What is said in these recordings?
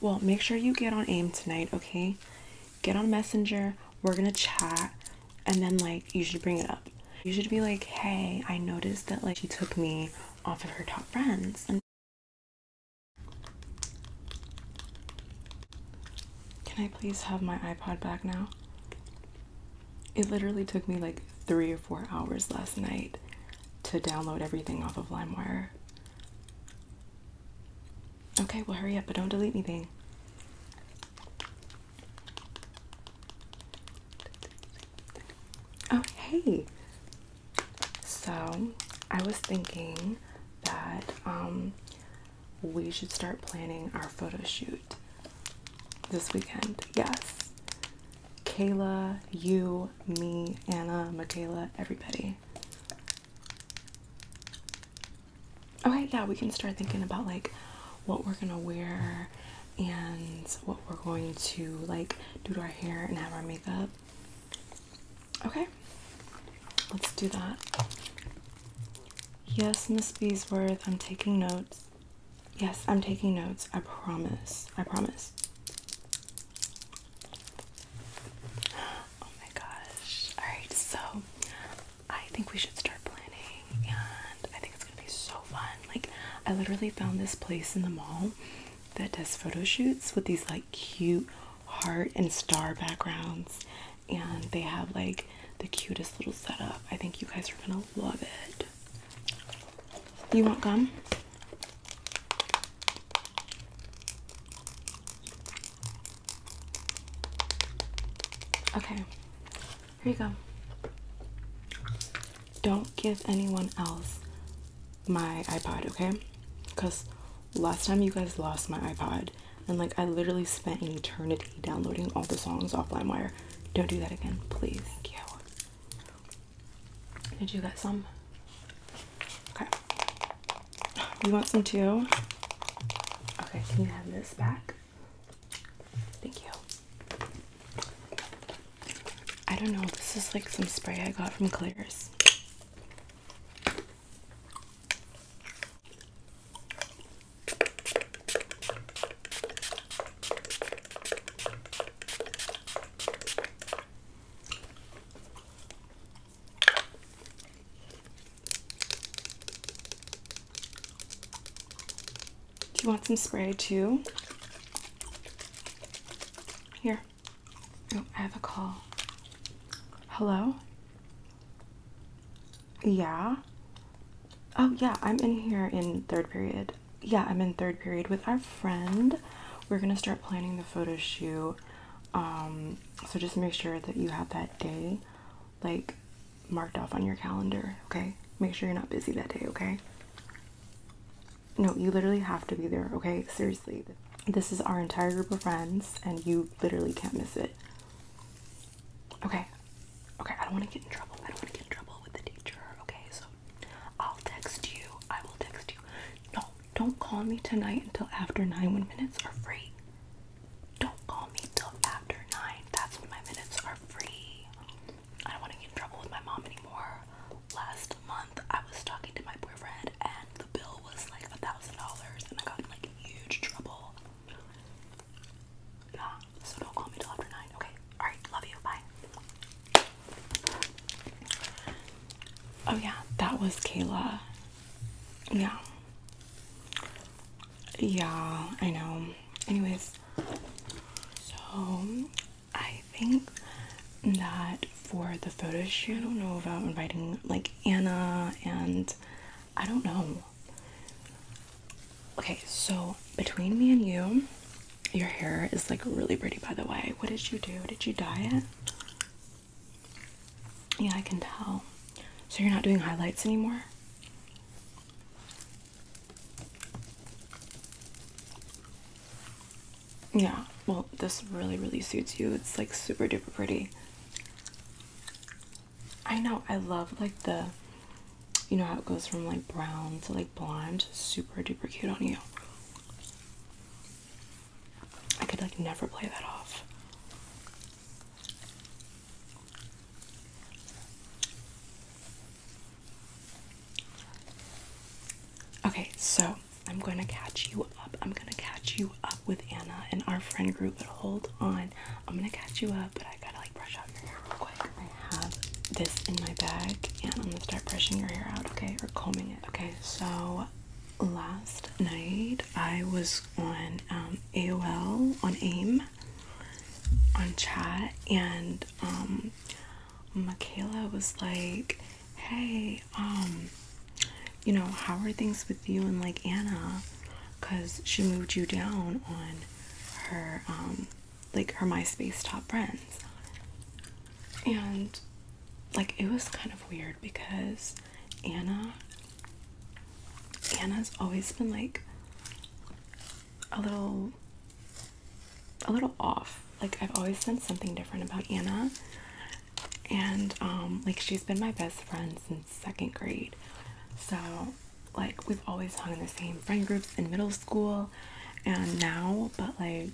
Well, make sure you get on AIM tonight, okay? Get on Messenger, we're gonna chat, and then like you should bring it up. You should be like, hey, I noticed that like she took me off of her top friends and can I please have my iPod back now? It literally took me like three or four hours last night to download everything off of LimeWire. Okay, well, hurry up, but don't delete anything. Oh, hey, so I was thinking that um, we should start planning our photo shoot this weekend. Yes. Kayla, you, me, Anna, Michaela, everybody. Okay, yeah, we can start thinking about like what we're gonna wear and what we're going to like do to our hair and have our makeup. Okay, let's do that. Yes, Miss Beesworth, I'm taking notes. Yes, I'm taking notes. I promise. I promise. Oh my gosh. Alright, so I think we should start planning and I think it's gonna be so fun. Like, I literally found this place in the mall that does photo shoots with these like cute heart and star backgrounds and they have like the cutest little setup. I think you guys are gonna love it. You want gum? Okay, here you go. Don't give anyone else my iPod, okay? Because last time you guys lost my iPod, and like I literally spent an eternity downloading all the songs off LimeWire. Don't do that again, please. Thank you. Did you get some? Okay. You want some too? Okay, can you have this back? Thank you. I don't know, this is like some spray I got from Claire's. Do you want some spray too? Here. Oh, I have a call. Hello? Yeah? Oh, yeah, I'm in here in third period. Yeah, I'm in third period with our friend. We're gonna start planning the photo shoot. Um, so just make sure that you have that day like marked off on your calendar, okay? Make sure you're not busy that day, okay? No, you literally have to be there, okay? Seriously. This is our entire group of friends, and you literally can't miss it. Okay. Okay, I don't want to get in trouble. I don't want to get in trouble with the teacher, okay? So I'll text you. I will text you. No, don't call me tonight until after nine when minutes are free. Don't call me till after nine. That's when my minutes are free. I don't want to get in trouble with my mom anymore last month I was talking to my boyfriend and the bill was like a thousand dollars and I got in like huge trouble. Yeah, so don't call me till after nine. Okay. Alright, love you. Bye. Oh yeah, that was Kayla. Yeah. Yeah, I know. Anyways, so I think that for the photo shoot, I don't know about inviting like Anna and I don't know. Okay, so between me and you, your hair is like really pretty by the way. What did you do? Did you dye it? Yeah, I can tell. So you're not doing highlights anymore? Yeah, well, this really, really suits you. It's like super duper pretty. I know, I love like the, you know, how it goes from like brown to like blonde. Super duper cute on you. I could like never play that off. Okay, so I'm going to catch you up. I'm going to catch you up with Anna and our friend group, but hold on. I'm going to catch you up, but I got to like brush out your hair real quick. I have this in my bag and I'm going to start brushing your hair out, okay? Or combing it. Okay, so last night I was on um, AOL, on AIM, on chat, and um, Michaela was like, Hey, um, you know, how are things with you and like Anna? Cause she moved you down on her um, like her MySpace top friends. And like it was kind of weird because Anna Anna's always been like a little a little off. Like I've always sensed something different about Anna. And um like she's been my best friend since second grade. So like we've always hung in the same friend groups in middle school and now, but like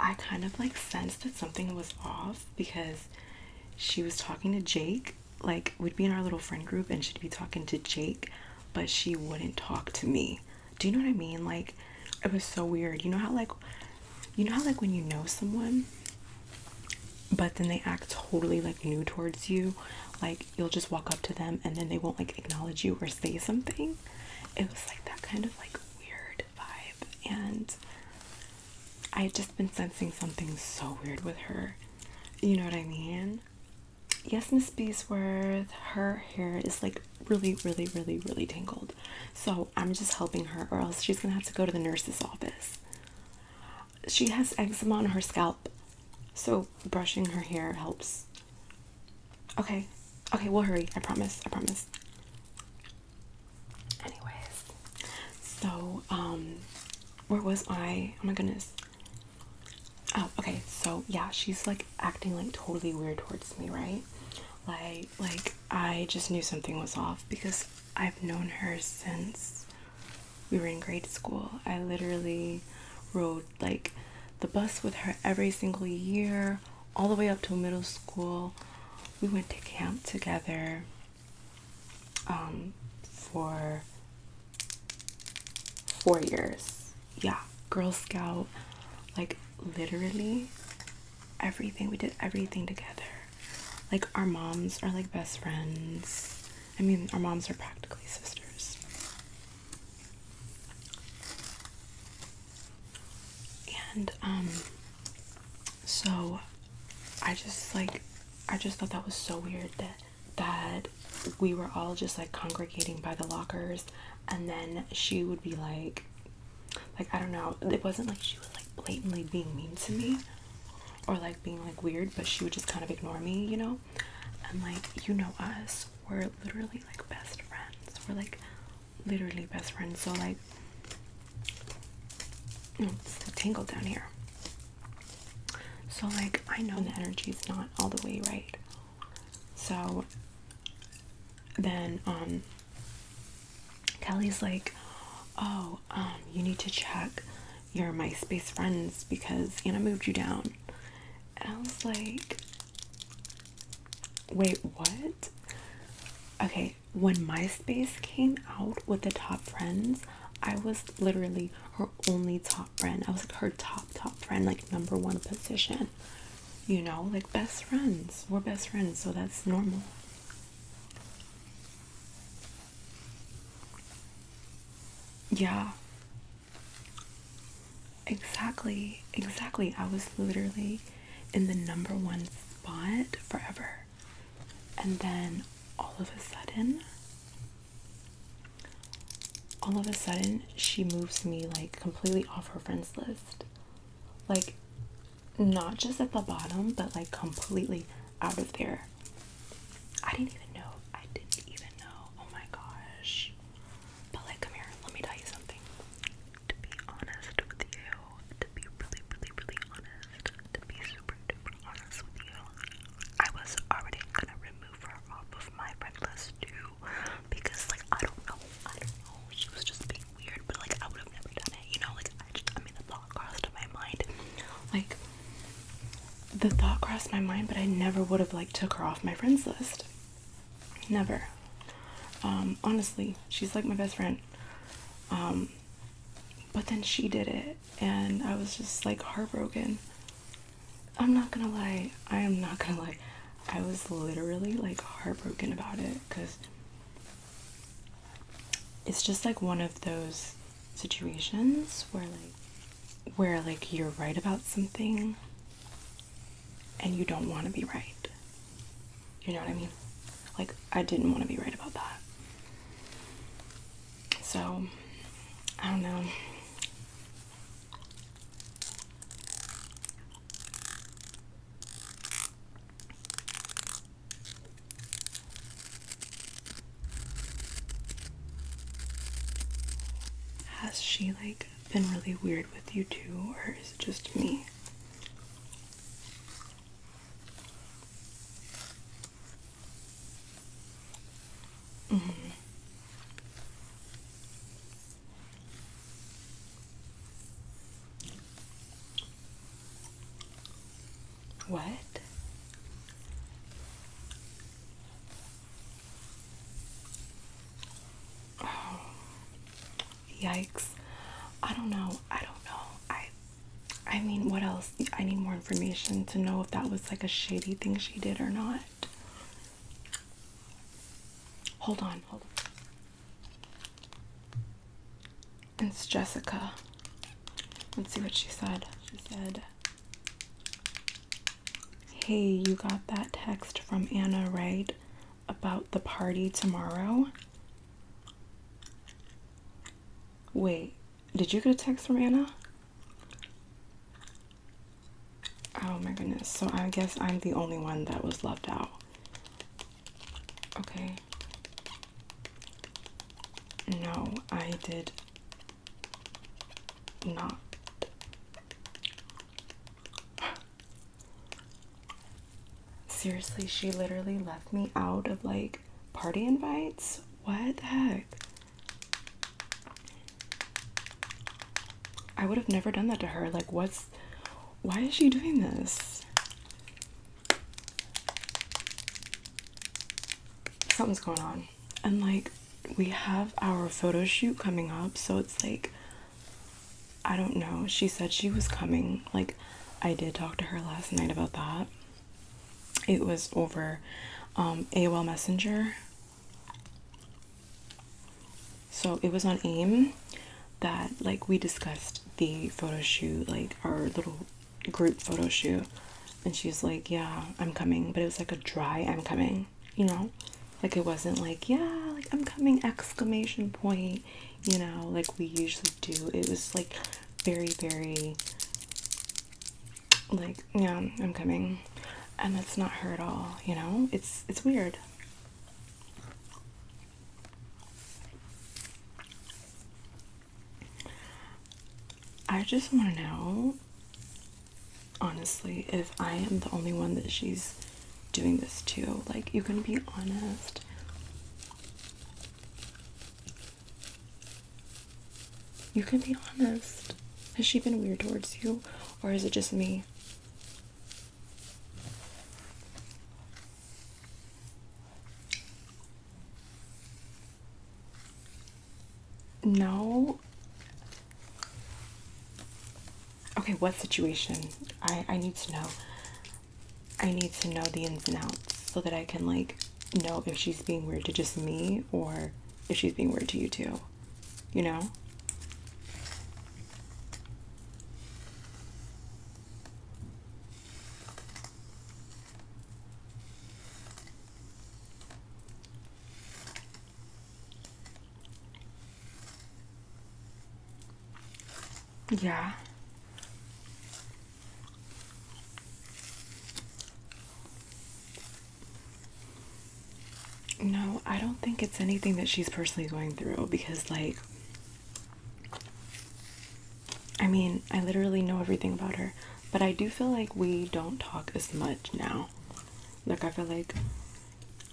I kind of like sensed that something was off because she was talking to Jake. Like we'd be in our little friend group and she'd be talking to Jake but she wouldn't talk to me. Do you know what I mean? Like it was so weird. You know how like you know how like when you know someone but then they act totally like new towards you. Like you'll just walk up to them and then they won't like acknowledge you or say something. It was like that kind of like weird vibe and I had just been sensing something so weird with her. You know what I mean? yes, Miss Beesworth, her hair is like really, really, really, really tangled. So I'm just helping her, or else she's gonna have to go to the nurse's office. She has eczema on her scalp, so brushing her hair helps. Okay, okay, we'll hurry. I promise, I promise. Anyways, so, um, where was I? Oh my goodness. Oh, okay. So yeah, she's like acting like totally weird towards me, right? Like, like I just knew something was off because I've known her since we were in grade school. I literally rode like the bus with her every single year, all the way up to middle school. We went to camp together um, for four years. Yeah, Girl Scout, like literally everything. We did everything together. Like, our moms are like best friends. I mean, our moms are practically sisters. And, um, so I just like, I just thought that was so weird that that we were all just like congregating by the lockers and then she would be like like I don't know it wasn't like she was like blatantly being mean to me or like being like weird but she would just kind of ignore me you know and like you know us we're literally like best friends we're like literally best friends so like it's a tangled down here so, like, I know the energy's not all the way right. So then, um, Kelly's like, Oh, um, you need to check your MySpace friends because Anna moved you down. And I was like, Wait, what? Okay, when MySpace came out with the top friends, I was literally her only top friend. I was like her top top friend, like number one position. You know, like best friends. We're best friends, so that's normal. Yeah. Exactly. Exactly. I was literally in the number one spot forever. And then all of a sudden all of a sudden she moves me like completely off her friends list like not just at the bottom but like completely out of there i didn't even know i didn't even know oh my gosh but like come here let me tell you something to be honest with you to be really really really honest to be super duper I was already gonna remove her off of my friend list too because like I don't know, I don't know, she was just being weird, but like I would have never done it, you know, like I just I mean the thought crossed my mind. Like the thought crossed my mind, but I never would have like took her off my friends list. Never. Um, honestly, she's like my best friend. Um, but then she did it and I was just like heartbroken. I'm not gonna lie, I am not gonna lie. I was literally like heartbroken about it because it's just like one of those situations where like where like you're right about something and you don't want to be right. You know what I mean? Like I didn't want to be right about that. So, I don't know. Has she like been really weird with you too, or is it just me? Mm-hmm. What? Oh, yikes. I don't know. I don't know. I I mean, what else? I need more information to know if that was like a shady thing she did or not. Hold on, hold on. It's Jessica. Let's see what she said. She said, Hey, you got that text from Anna, right? About the party tomorrow? Wait, did you get a text from Anna? Oh my goodness. So I guess I'm the only one that was left out. Okay. No, I did not. Seriously, she literally left me out of like Party invites? What the heck? I would have never done that to her. Like, what's. Why is she doing this? Something's going on. And, like, we have our photo shoot coming up, so it's like. I don't know. She said she was coming. Like, I did talk to her last night about that. It was over um, AOL Messenger. So it was on AIM that like we discussed the photo shoot, like our little group photo shoot. And she's like, yeah, I'm coming. But it was like a dry I'm coming, you know? Like it wasn't like, yeah, like I'm coming exclamation point, you know, like we usually do. It was like very, very like, yeah, I'm coming. And that's not her at all, you know? It's it's weird. I just want to know honestly if I am the only one that she's doing this to. Like, you can be honest. You can be honest. Has she been weird towards you, or is it just me? No. Okay, what situation? I I need to know. I need to know the ins and outs so that I can like know if she's being weird to just me or if she's being weird to you too. You know? Yeah. No, I don't think it's anything that she's personally going through because, like, I mean, I literally know everything about her, but I do feel like we don't talk as much now. Like, I feel like,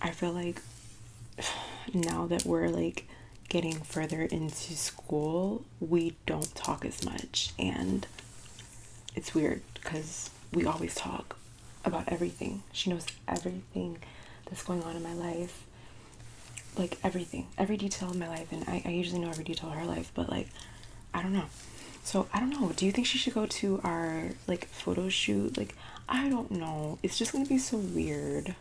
I feel like now that we're like getting further into school, we don't talk as much and it's weird because we always talk about everything. She knows everything that's going on in my life. Like everything, every detail of my life, and I, I usually know every detail of her life, but like I don't know. So I don't know. Do you think she should go to our like photo shoot? Like I don't know. It's just gonna be so weird.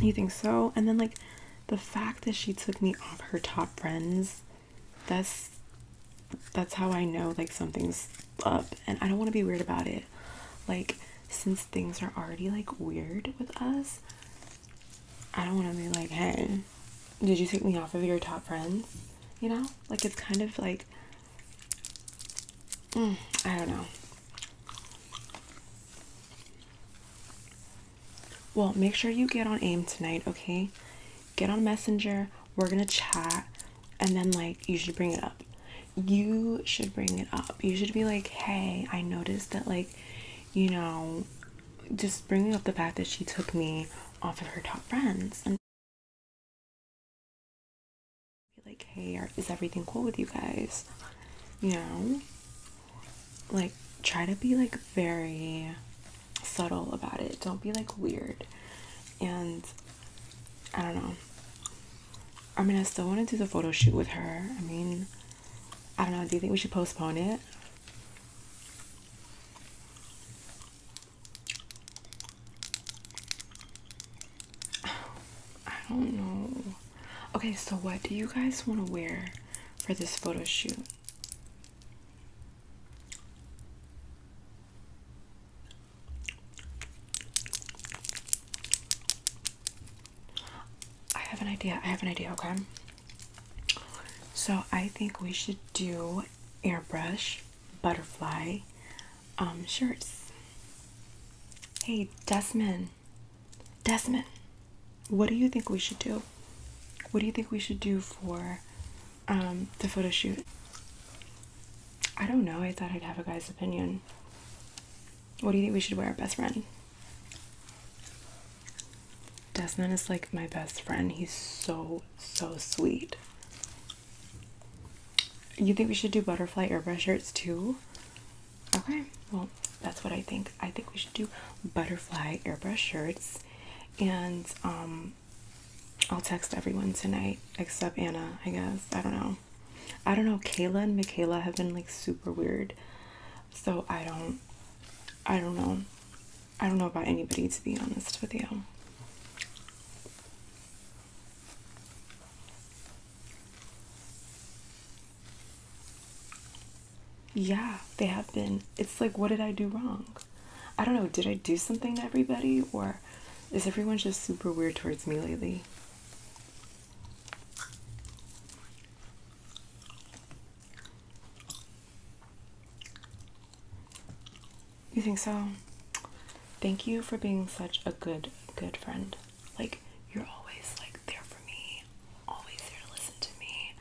You think so? And then like the fact that she took me off her top friends, that's that's how I know like something's up and I don't want to be weird about it. Like since things are already like weird with us, I don't want to be like, "Hey, did you take me off of your top friends?" You know? Like it's kind of like Mm, I don't know. Well, make sure you get on AIM tonight, okay? Get on Messenger. We're gonna chat, and then like you should bring it up. You should bring it up. You should be like, hey, I noticed that like, you know, just bringing up the fact that she took me off of her top friends and like, hey, are, is everything cool with you guys? You know? Like, try to be like very subtle about it. Don't be like weird. And I don't know. I mean, I still want to do the photo shoot with her. I mean, I don't know. Do you think we should postpone it? I don't know. Okay, so what do you guys want to wear for this photo shoot? I have an idea. I have an idea, okay? So I think we should do airbrush butterfly um, shirts. Hey, Desmond, Desmond, what do you think we should do? What do you think we should do for um, the photo shoot? I don't know. I thought I'd have a guy's opinion. What do you think we should wear, best friend? Desmond is like my best friend. He's so, so sweet. You think we should do butterfly airbrush shirts too? Okay, well, that's what I think. I think we should do butterfly airbrush shirts, and um, I'll text everyone tonight except Anna, I guess. I don't know. I don't know. Kayla and Michaela have been like super weird, so I don't, I don't know. I don't know about anybody to be honest with you. Yeah, they have been. It's like, what did I do wrong? I don't know. Did I do something to everybody? Or is everyone just super weird towards me lately? You think so? Thank you for being such a good, good friend. Like, you're always like there for me, always there to listen to me.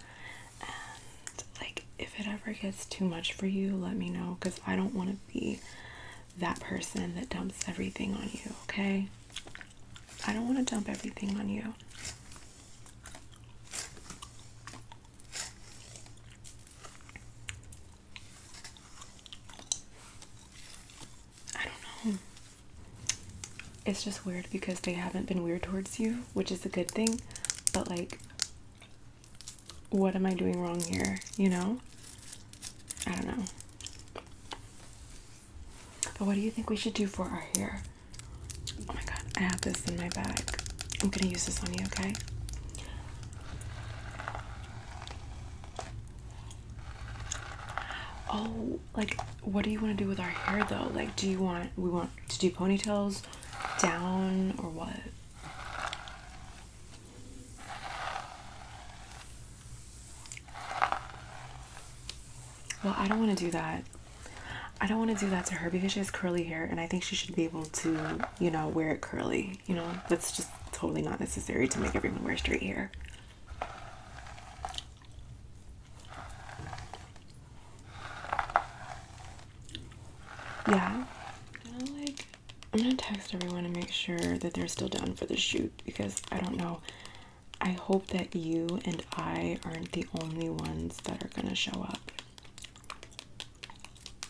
And like, if it ever gets too much for you, let me know because I don't want to be that person that dumps everything on you, okay? I don't want to dump everything on you. I don't know. It's just weird because they haven't been weird towards you, which is a good thing, but like, what am I doing wrong here? You know? I don't know. But what do you think we should do for our hair? Oh my god, I have this in my bag. I'm gonna use this on you, okay? Oh, like what do you want to do with our hair though? Like do you want we want to do ponytails down or what? Well, I don't want to do that. I don't want to do that to her because she has curly hair and I think she should be able to, you know, wear it curly. You know, that's just totally not necessary to make everyone wear straight hair. Yeah. I'm gonna text everyone to make sure that they're still down for the shoot because I don't know. I hope that you and I aren't the only ones that are gonna show up.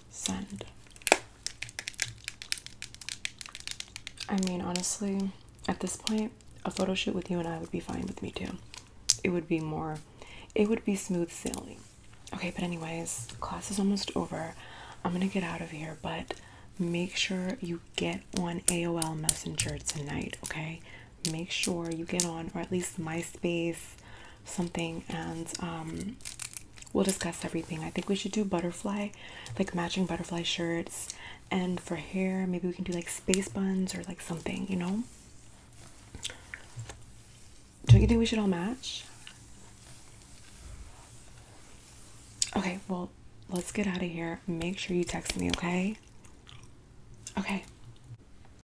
Send. I mean, honestly, at this point, a photo shoot with you and I would be fine with me too. It would be more, it would be smooth sailing. Okay, but anyways, class is almost over. I'm gonna get out of here, but make sure you get on AOL Messenger tonight, okay? Make sure you get on, or at least MySpace, something and um, we'll discuss everything. I think we should do butterfly, like matching butterfly shirts, and for hair, maybe we can do like space buns or like something, you know? Don't you think we should all match? Okay, well, let's get out of here. Make sure you text me, okay? Okay.